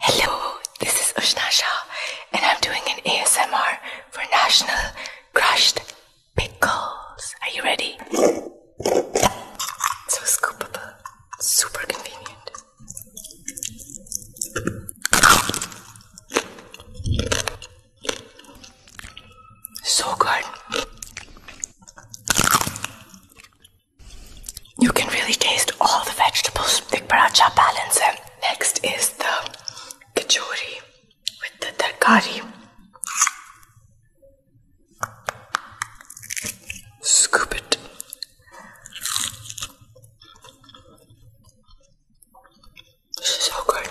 Hello, this is Ushna Shah, and I'm doing an ASMR for National Crushed Pickles. Are you ready? so scoopable, super convenient. So good. You can really taste all the vegetables. Dik paratha balance hai. Next is the kachori with the tarkari. Scoop it. This is so good.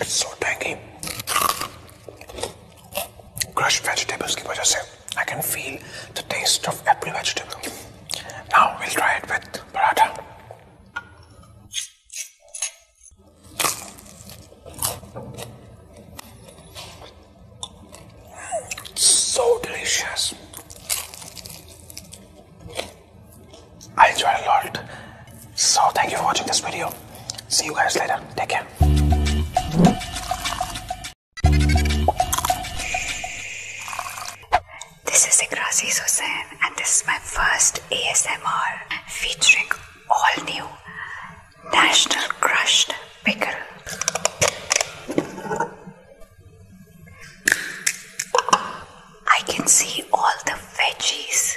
It's so tangy. Crushed vegetables ki wajah se, I can feel the taste of every vegetable. Now we'll try it with paratha. It's so delicious. I enjoy a lot. So thank you for watching this video. See you guys later. Take care. This is Igraziz Hussain and this is my first ASMR featuring all new National Crushed Pickle. I can see all the veggies.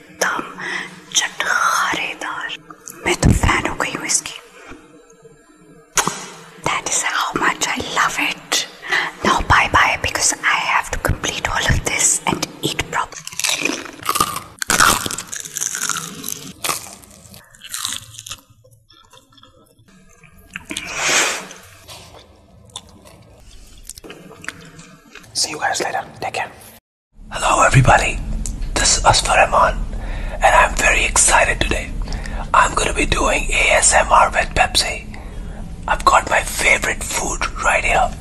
एकदम चटखारेदार मैं तो fan हो गई हूँ That is how much I love it. Now bye bye because I have to complete all of this and eat properly. See you guys later. Take care. Hello everybody, this is Asfar and I'm very excited today. I'm going to be doing ASMR with Pepsi. I've got my favorite food right here.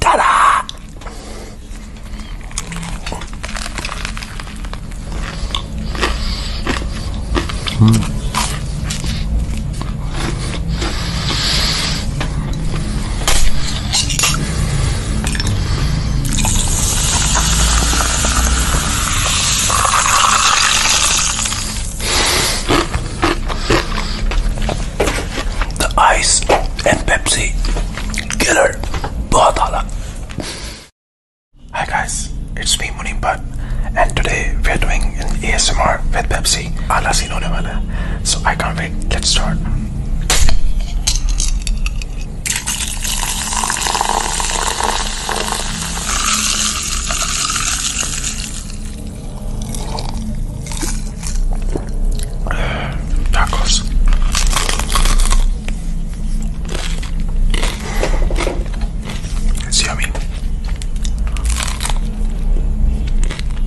Ta-da! Hmm ice and Pepsi killer bahut hala. Hi guys, it's me Munim Bhatt and today we're doing an ASMR with Pepsi. Ala scene hone So I can't wait let's start. tacos. It's yummy.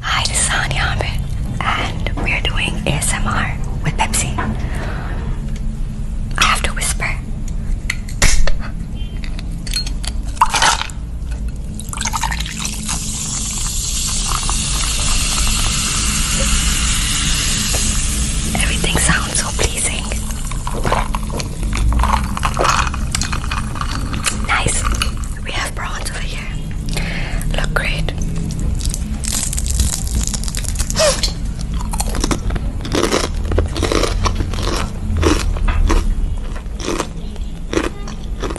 Hi, this is and we are doing ASMR with Pepsi. I have to whisper. Everything sounds so pleasing. Nice. We have prawns over here. Look great.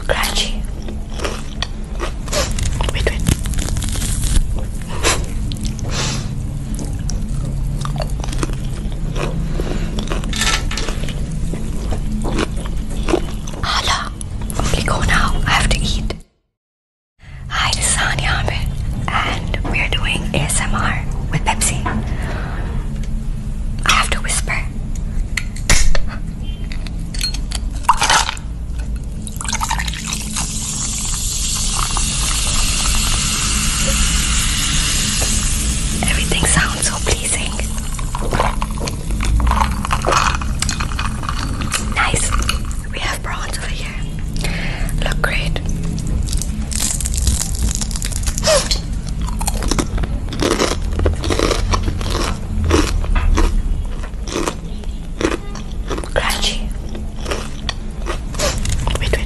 Crunchy. Wait, wait. Hello now. Okay, go now. I have to eat. Hi, this is Sanya and we're doing ASMR with Pepsi. I have to whisper. Everything sounds so pleasing. Nice. We have prawns over here. Look great. Crunchy. Wait, wait.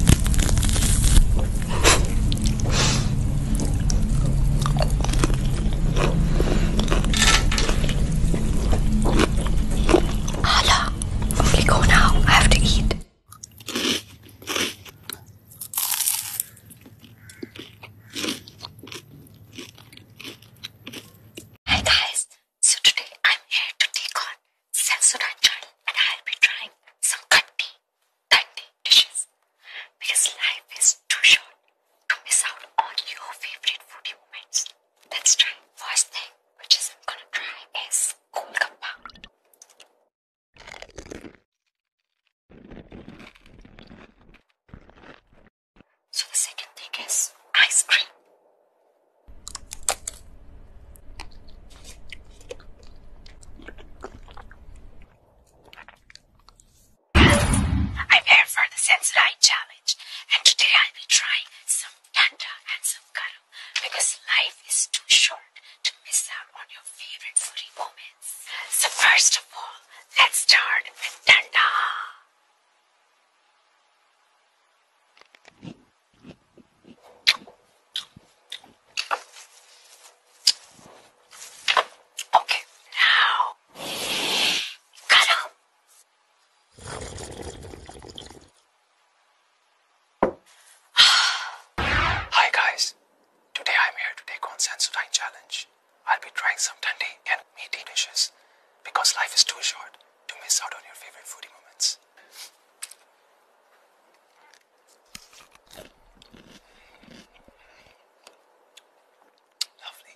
Hala. Okay, go now. I have to eat. Hi guys, so today I'm here to take on Sensodyne channel and I'll be trying some cutty, cutty dishes because life is too short to miss out on your favorite foodie moments. Let's try. First thing which is I'm gonna try is cold compound. So the second thing is ice cream. I'm here for the sensory challenge and today I will try some tanda and some karu because life is too short to miss out on your favorite foodie moments. So first of all, let's start with tanda. Okay, now garam. Hi guys, today I'm here to take on Sensodyne challenge. I'll be trying some trendy and meaty dishes because life is too short to miss out on your favorite foodie moments. Lovely.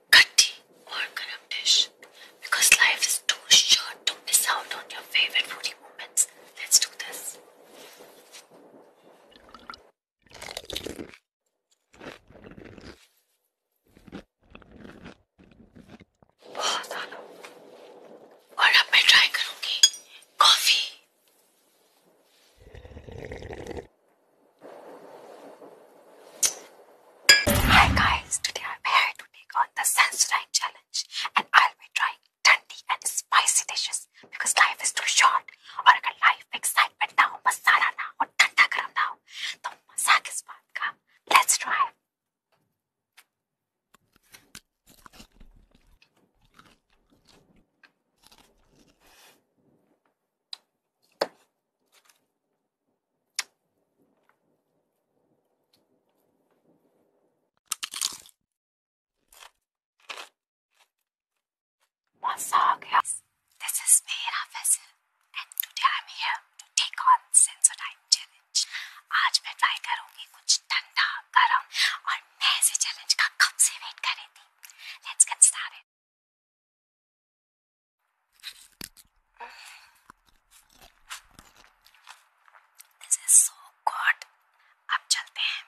Cutty or garam Because life is too short to miss out on your favorite foodie moments. Let's do this. बहुत आना और अब मैं try Hi guys, today I'm here to take on the Sensodyne challenge and I'll be trying tandy and spicy dishes because life is too short. Or अगर life में excitement now हो, मसाला ना हो, ठंडा now, ना हो, तो मजा किस Let's try. What's up, guys? This is Meera Faisal and today I'm here to take on sensor time challenge. आज मैं ट्राई करूंगी कुछ ठंडा गर्म और मैं इसे चैलेंज का कब से वेट कर रही थी Let's get started. This is so good. अब चलते हैं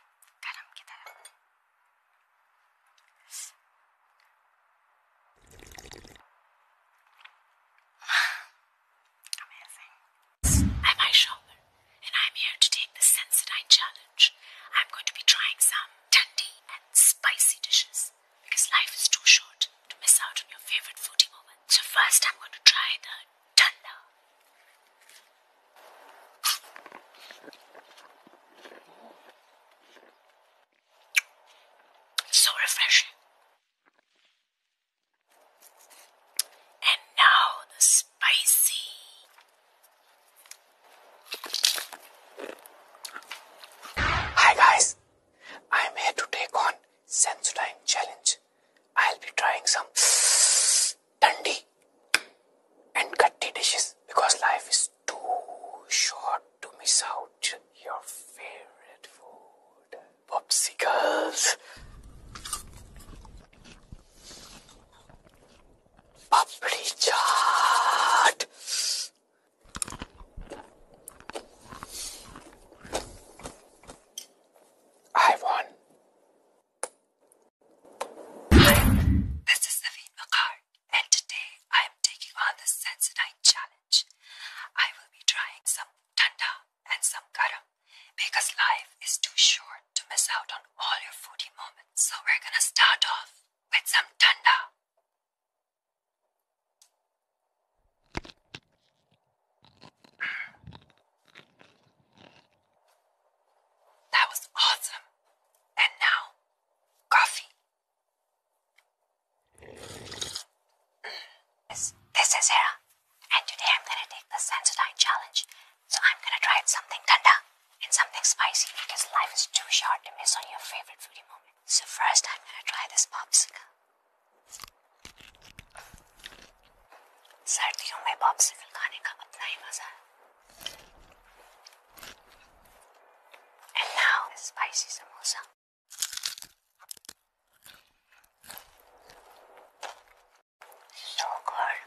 Amazing. I'm a shopper, and I'm here to take the Sensodyne challenge. I'm going to be trying some tandy and spicy dishes because life is too short to miss out on your favorite foodie moment. So first I'm going to try the tanda. So refreshing. And now the spicy. Hi guys, I am here to take on Sensodyne challenge. I'll be trying some thundi and gatti dishes because life is too short to miss out your favorite food. Popsicles. Papri chaat. I won. Hi, this is Naveen Card, and today I am taking on the Sensodyne challenge. I will be trying some tanda and some karam, because life is too short to miss out on all your foodie moments. So we're gonna start off with some tanda. That was awesome. And now, coffee. This, is Hera, and today I'm gonna take the Sensodyne challenge. So I'm gonna try something tender and something spicy because life is too short to miss on your favorite foodie moment. So first I'm gonna try this popsicle. सर्दियों में popsicle खाने का अपना ही मजा है And now the spicy samosa. So good.